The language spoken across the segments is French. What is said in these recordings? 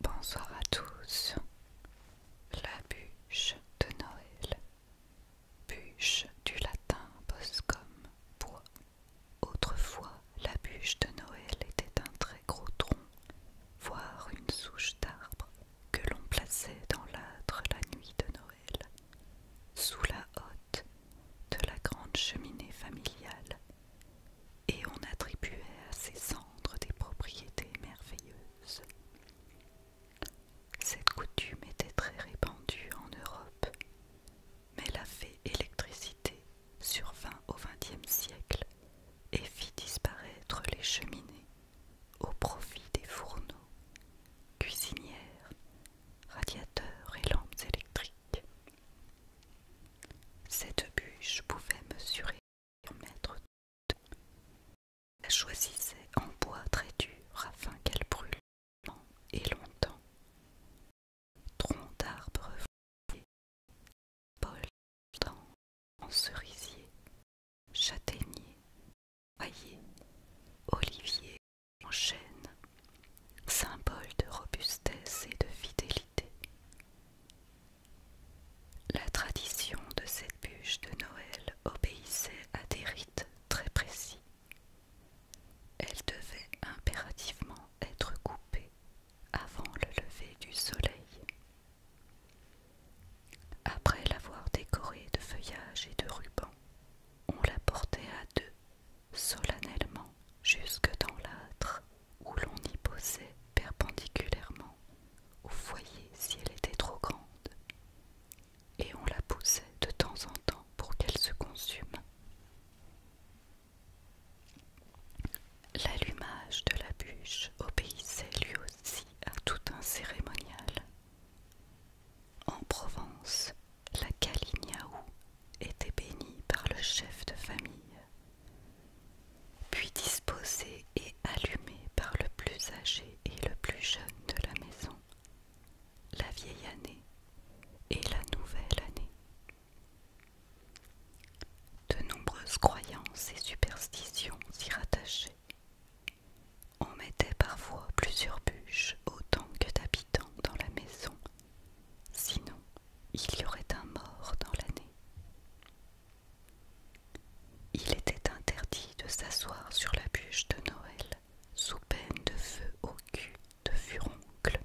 Bonsoir à tous. La bûche de Noël. Bûche du latin Boscom bois. Autrefois, la bûche de Noël était un très gros tronc, voire une souche d'arbre, que l'on plaçait dans l'âtre la nuit de Noël. Sous la hotte, de la grande cheminée familiale, et on attribuait à ses cendres des propriétés merveilleuses. Cette coutume était très répandue en Europe, mais la fée électricité survint au XXe siècle et fit disparaître les cheminées au profit des fourneaux, cuisinières, radiateurs et lampes électriques. Cette bûche pouvait mesurer un mètre de La choisissait en bois très dur afin qu'elle brûle longtemps et longtemps. Tronc d'arbre fouillé, en cerisier, châtaignier, olivier, en chêne, symbole de robustesse et de fidélité. La tradition de cette bûche de Noël obéissait à des rites très précis. Elle devait impérativement être coupée avant le lever du soleil. Après l'avoir décorée de feuillages et de rubans, on la portait à deux solennellement jusque dans l'âtre où l'on y posait perpendiculairement au foyer si elle était trop grande, et on la poussait de temps en temps pour qu'elle se consume. L'allumage de la bûche obéissait lui aussi à tout un cérémonial. En Provence, la Kaliniaou était bénie par le chef de famille, puis disposée et allumée par le plus âgé et le plus jeune de la maison, la vieille année et la nouvelle année. De nombreuses croyances et superstitions s'y rattachaient. On mettait parfois plusieurs bûches autant que d'habitants dans la maison Sinon, il y aurait un mort dans l'année. Il était interdit de s'asseoir sur la bûche de Noël sous peine de feu au cul de furoncle.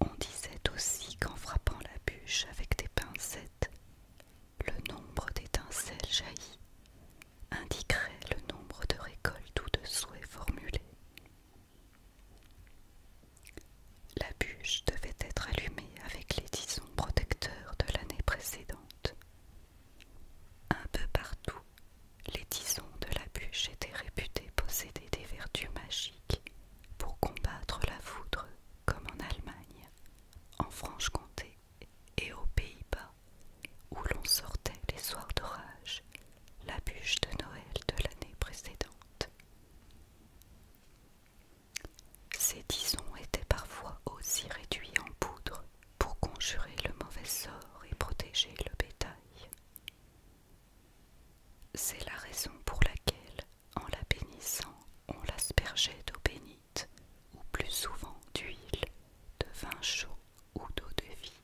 On disait aussi qu'en frappant la bûche avec des pincettes, le nombre d'étincelles jaillies indiquerait le nombre de récoltes ou de souhaits formulés. La bûche devait être allumée avec les tisons protecteurs de l'année précédente. Un peu partout, les tisons de la bûche étaient réputés posséder des vertus magiques pour combattre la foudre, comme en Allemagne, en Franche-Comté et aux Pays-Bas, où l'on sortait les soirs d'orage la bûche de Noël de l'année précédente. Ces disons étaient parfois aussi réduits en poudre pour conjurer le mauvais sort et protéger le bétail. C'est la raison pour laquelle, en la bénissant, on l'aspergeait d'eau bénite, ou plus souvent d'huile, de vin chaud ou d'eau de vie.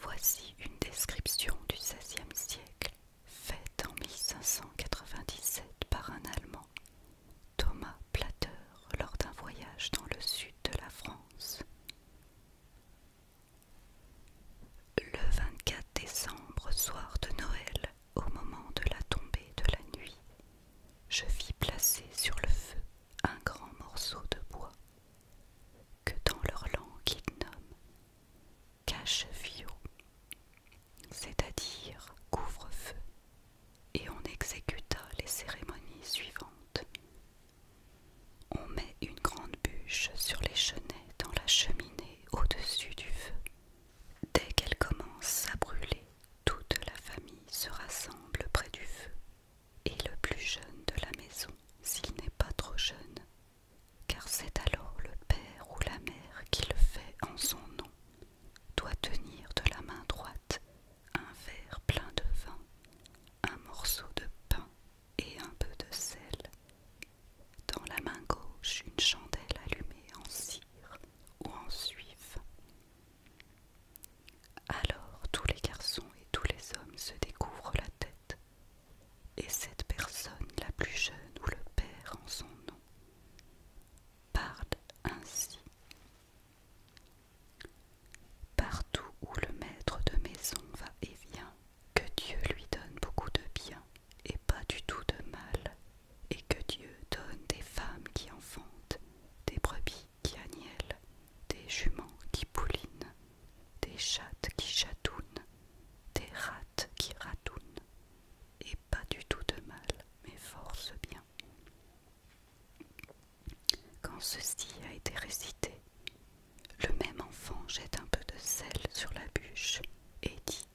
Voici une description du XVIe siècle faite en 1597 par un Allemand, Thomas Plater, lors d'un voyage dans le sud de la France. Le 24 décembre, soir de Noël, au moment de la tombée de la nuit, je vis placer sur le feu un grand morceau de bois que dans leur langue ils nomment cache-fio, c'est-à-dire couvre-feu, et on exécuta les cérémonies suivantes. On met une grande bûche sur les chenets dans la cheminée au-dessus du feu. Dès qu'elle commence à brûler, toute la famille se rassemble près du feu et le plus jeune de la maison, s'il n'est pas trop jeune, car c'est alors le père ou la mère qui le fait en son nom, doit tenir de la main droite un verre plein de vin, un morceau de pain et un peu de sel, dans la main gauche une chandelle allumée en cire ou en suif, alors tous les garçons et tous les hommes se découvrent la tête, et cette personne, la plus jeune ou le père en son nom, parle ainsi. Partout où le maître de maison va et vient, que Dieu lui donne beaucoup de bien et pas du tout de mal, et que Dieu donne des femmes qui enfantent, des brebis qui des juments qui poulinent, des chattes qui chatounent, des rats qui ratounent, et pas du tout de mal, mais force bien. Quand ceci a été récité, le même enfant jette un peu de sel sur la bûche et dit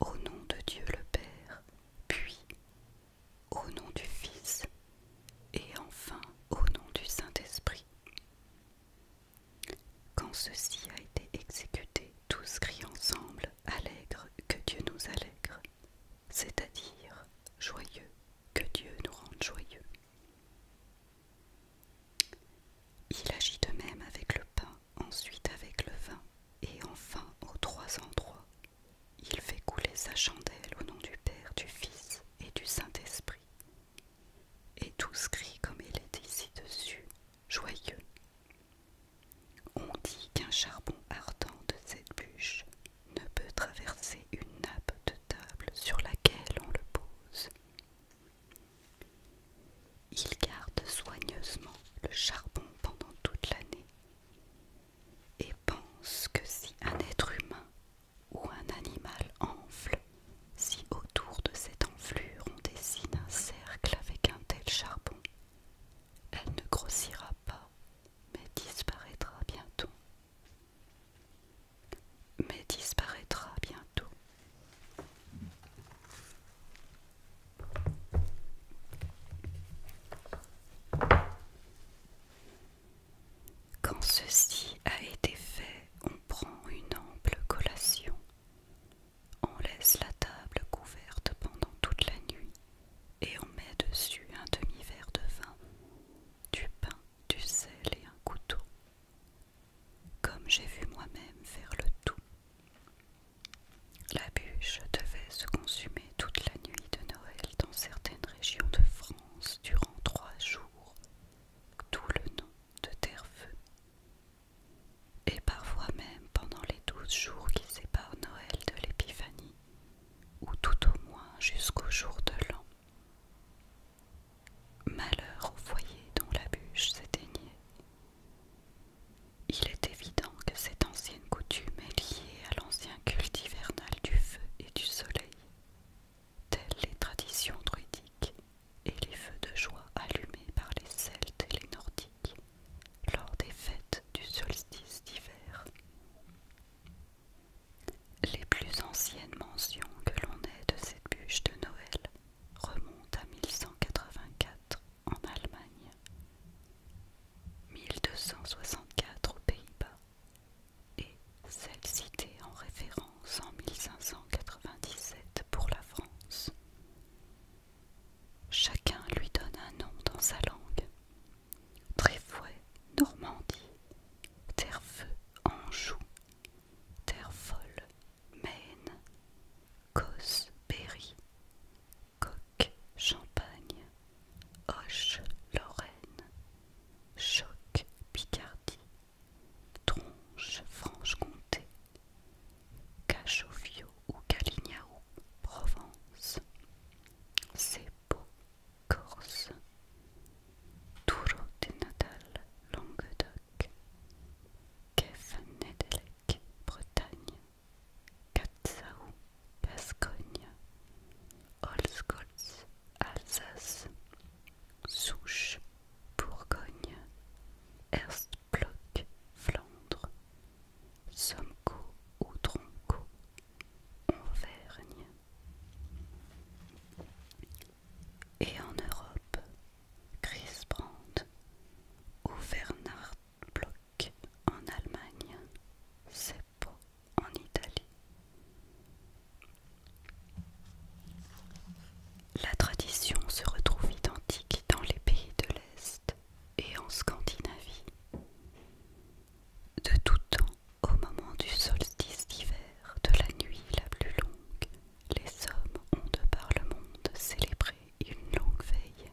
Au nom de Dieu le Père, puis au nom du Fils et enfin au nom du Saint-Esprit. Quand ceci a été exécuté, tous crient ensemble Allègre que Dieu nous allègre, c'est-à-dire joyeux que Dieu nous rende joyeux. Il agit de même avec le pain, ensuite avec le vin, et enfin aux trois endroits il fait couler sa chandelle au nom du Père, du Fils et du Saint-Esprit. Et tous crient comme il est ici dessus, joyeux. On dit qu'un charbon ardent de cette bûche ne peut traverser une nappe de table sur laquelle on le pose. Il garde soigneusement le charbon pendant toute l'année et pense que si un être humain ou un animal enfle, si autour de cette enflure on dessine un cercle avec un tel charbon, elle ne grossira pas, mais disparaîtra bientôt. Mais disparaîtra bientôt. Quand ceci a été fait, on prend une ample collation. On laisse la table couverte pendant toute la nuit et on met dessus un demi-verre de vin, du pain, du sel et un couteau. Comme j'ai vu moi-même faire le tout. La bûche devait se consumer toute la nuit de Noël dans certaines régions de France durant trois jours, tout le nom de Terre-Feu. Et parfois même pendant les douze jours qui séparent Noël de l'Épiphanie, ou tout au moins jusqu'au jour de l'an. Malheur au foyer dont la bûche s'éteignait. Il est évident que cette ancienne coutume est liée à l'ancien culte hivernal du feu et du soleil, telles les traditions druidiques et les feux de joie allumés par les Celtes et les Nordiques lors des fêtes du solstice d'hiver. Les plus anciennes mentions que l'on ait de cette bûche de Noël remontent à 1184 en Allemagne, 1264 aux Pays-Bas et celle citée en référence en 1597 pour la France. Chacun lui donne un nom dans sa langue. Tréfouet, Normandie, terre Anjou, Terre-Folle, Maine, Cos, Berry, Coque, Champagne, Hoche, Lorraine, Choc, Picardie, Tronche, Franche-Comté, Cachofio ou Calignao, Provence, Cepo, Corse, Touro de Natal, Languedoc, nedelec Bretagne, Katsaou, Bascogne, Holzgolz, Alsace, Souche, Bourgogne, Erstblock, Flandre, Somco ou Tronco, Auvergne. Et en Europe, Chris Brandt ou Block en Allemagne, Seppo en Italie. La tradition se retrouve identique dans les pays de l'Est et en Scandinavie. De tout temps, au moment du solstice d'hiver, de la nuit la plus longue, les hommes ont de par le monde célébré une longue veille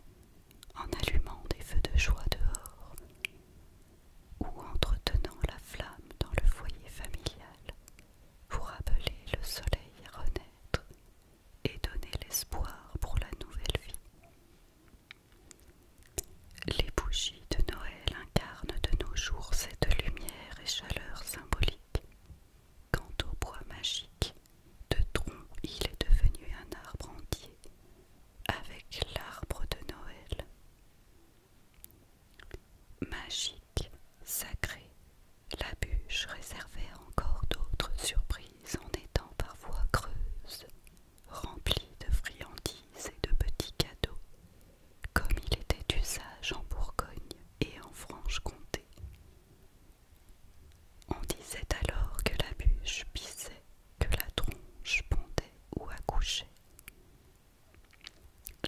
en allumant des feux de joie dehors, ou entretenant la flamme dans le foyer familial pour appeler le soleil à renaître et donner l'espoir pour la nouvelle vie. Les bougies de Noël incarnent de nos jours cette lumière et chaleur symbolique. Quant au bois magique, de tronc il est devenu un arbre entier, avec l'arbre de Noël. Magique, sacré, la bûche réservait encore d'autres surprises en étant parfois creuse, remplie de friandises et de petits cadeaux, comme il était d'usage en Bourgogne et en Franche-Comté. On disait alors que la bûche pissait, que la tronche pondait ou accouchait,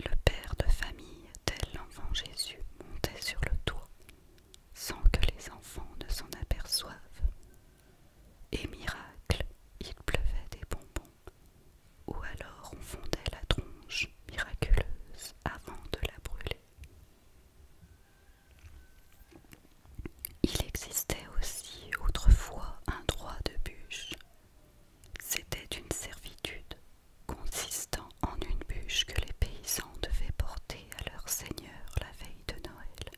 le père de famille, tel l'enfant Jésus, montait sur le toit, sans que les enfants ne s'en aperçoivent. Et miracle, il pleuvait des bonbons, ou alors on fondait la tronche miraculeuse avant de la brûler. Il existait aussi autrefois un droit de bûche c'était une servitude consistant en une bûche que les paysans devaient porter à leur seigneur la veille de Noël.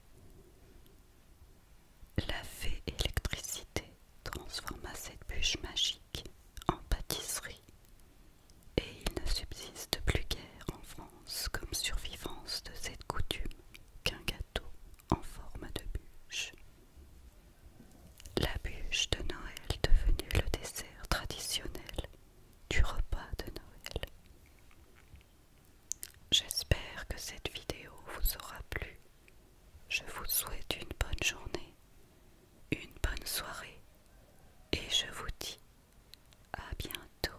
La fée électricité transforma cette bûche magique en pâtisserie et il ne subsiste plus guère en France comme survivance de cette coutume qu'un gâteau en forme de bûche. La bûche de Noël devenue le dessert traditionnel du repas de Noël. J'espère que cette vidéo vous aura plu. Je vous souhaite une bonne journée, une bonne soirée et je vous dis à bientôt.